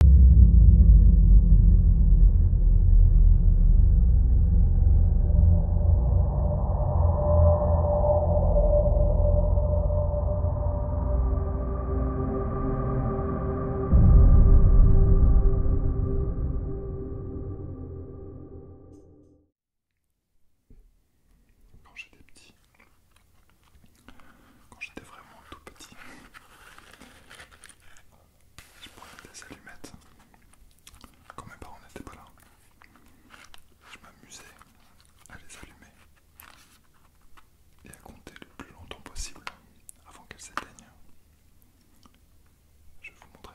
Quand j'étais petit, quand j'étais vraiment tout petit. Je prenais des allumettes quand mes parents n'étaient pas là. Je m'amusais à les allumer et à compter le plus longtemps possible avant qu'elles s'éteignent. Je vais vous montrer.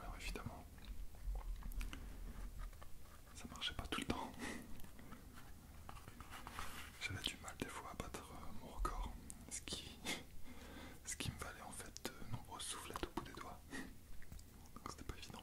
Alors évidemment, ça marchait pas tout le temps. J'avais du mal des fois à battre euh, mon record, ce qui, ce qui me valait en fait de nombreuses soufflettes au bout des doigts. Donc c'était pas évident.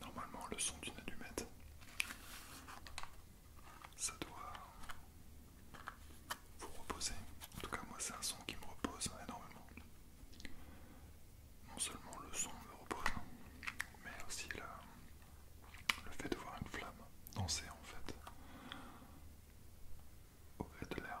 Normalement, le son d'une allumette, ça doit vous reposer. En tout cas, moi, c'est un son qui me repose énormément. Non seulement le son me repose, mais aussi le fait de voir une flamme danser en fait au gré de l'air.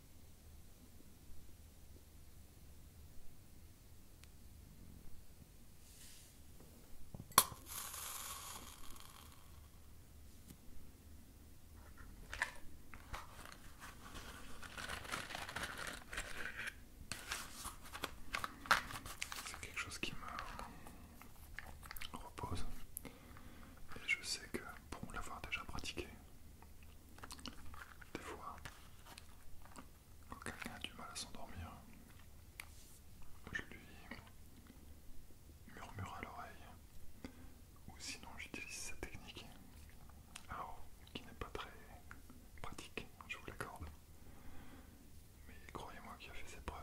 C'est quelque chose qui me repose et je sais que pour l'avoir déjà pratiqué, des fois, quand quelqu'un a du mal à s'endormir, je lui murmure à l'oreille, ou sinon j'utilise cette technique, alors qui n'est pas très pratique, je vous l'accorde, mais croyez-moi qui a fait ses preuves.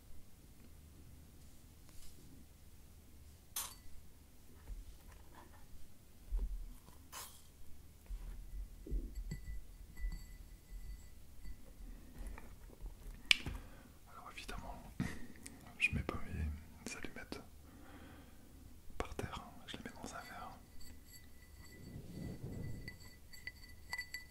Alors évidemment, je mets pas mes allumettes par terre, hein. je les mets dans un verre.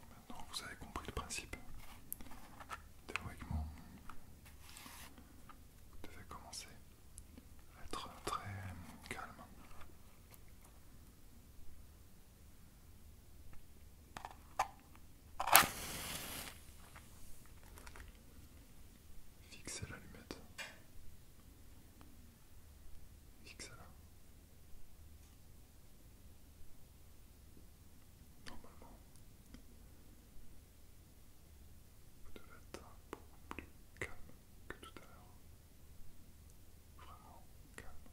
Maintenant, vous avez compris le principe. Théoriquement, vous devez commencer à être très calme. Fixez l'allumette. Fixez-la. Normalement, vous devez être beaucoup plus calme que tout à l'heure. Vraiment calme.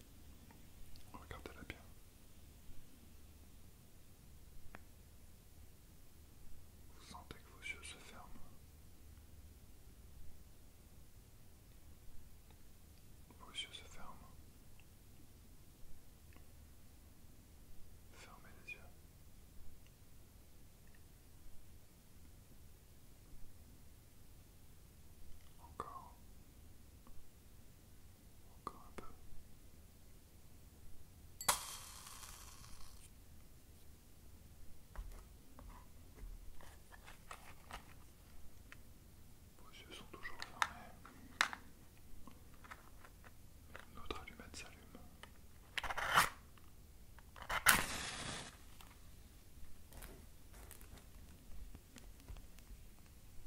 Regardez-la bien. Vous sentez que vos yeux se ferment. Vos yeux se ferment. Fermez les yeux. Encore. Encore un peu. Vos yeux sont toujours fermés. Notre allumette s'allume.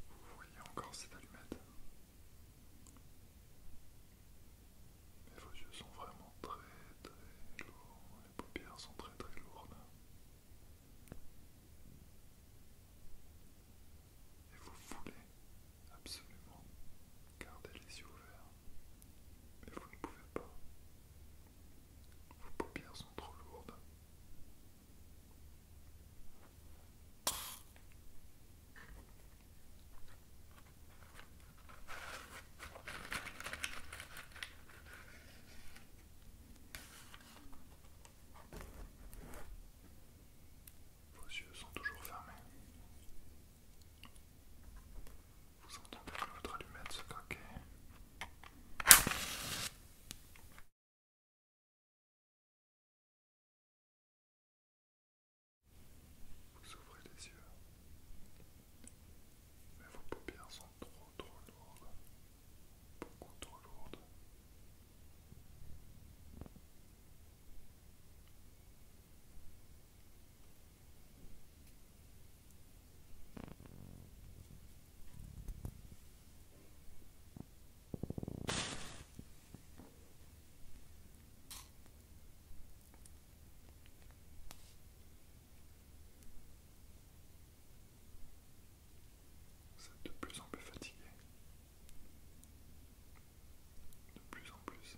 Vous voyez encore cette allumette Mais vos yeux sont vraiment très très lourds, les paupières sont très très lourdes. Et vous voulez absolument garder les yeux ouverts, mais vous ne pouvez pas. Vos paupières sont trop lourdes. Vos yeux sont toujours fermés. Vous entendez que votre allumette se craquer. Vous ouvrez les yeux, mais vos paupières sont trop trop lourdes, beaucoup trop lourdes ça de plus en plus fatigué. De plus en plus.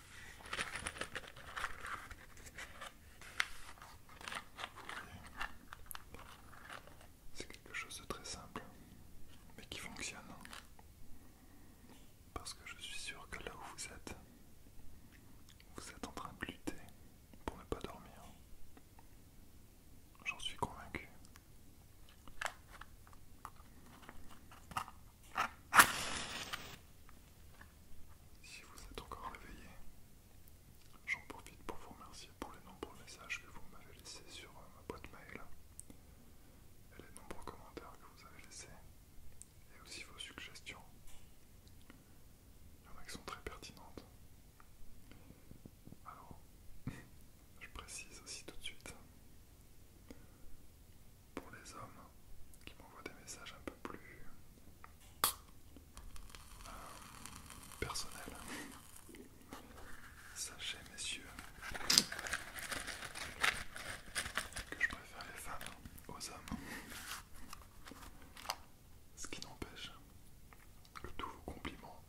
C'est quelque chose de très simple, mais qui fonctionne. Hein. Parce que je suis sûr que là où vous êtes, vous êtes en train de lutter pour ne pas dormir. J'en suis convaincu. Si vous êtes encore réveillé, j'en profite pour vous remercier pour les nombreux messages que vous m'avez laissés sur euh, ma boîte mail et les nombreux commentaires que vous avez laissés et aussi vos suggestions. Il qui sont très pertinentes. Alors, je précise aussi tout de suite pour les hommes qui m'envoient des messages un peu plus euh, personnels. Sachez, messieurs, que je préfère les femmes aux hommes. Ce qui n'empêche que tous vos compliments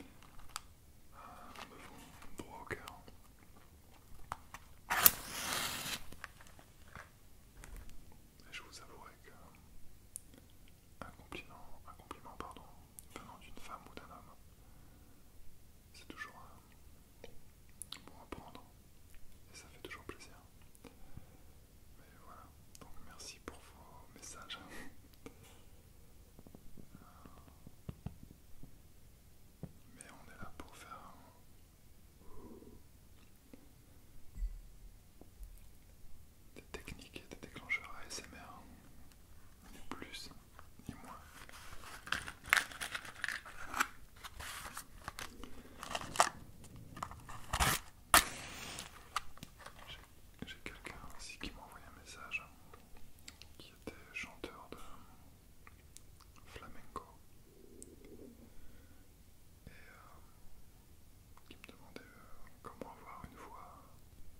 euh, me vont droit au cœur. Je vous avouerai qu'un compliment, un compliment pardon, venant d'une femme ou d'un homme, c'est toujours bon à prendre et ça fait toujours plaisir. Mais voilà, donc merci pour vos messages. mais on est là pour faire des techniques et des déclencheurs ASMR, ni plus ni moins. J'ai quelqu'un ici qui m'a envoyé un message hein, qui était chanteur de flamenco et euh, qui me demandait euh, comment avoir une voix.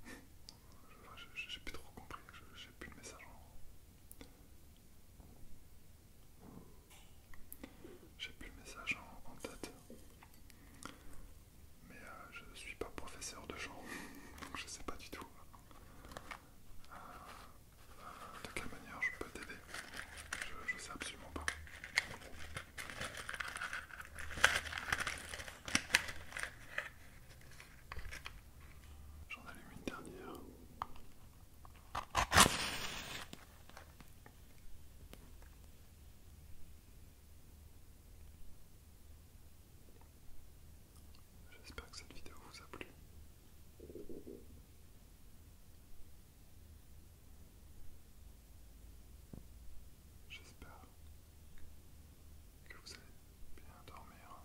j'ai plus trop compris, j'ai plus le message en. plus le message en, tête. Mais euh, je ne suis pas professeur de chant, donc je sais pas du tout de quelle manière je peux t'aider je, je sais absolument pas. J'en allume une dernière. J'espère que cette vidéo vous a plu. J'espère que vous allez bien dormir.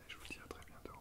Et je vous dis à très bientôt.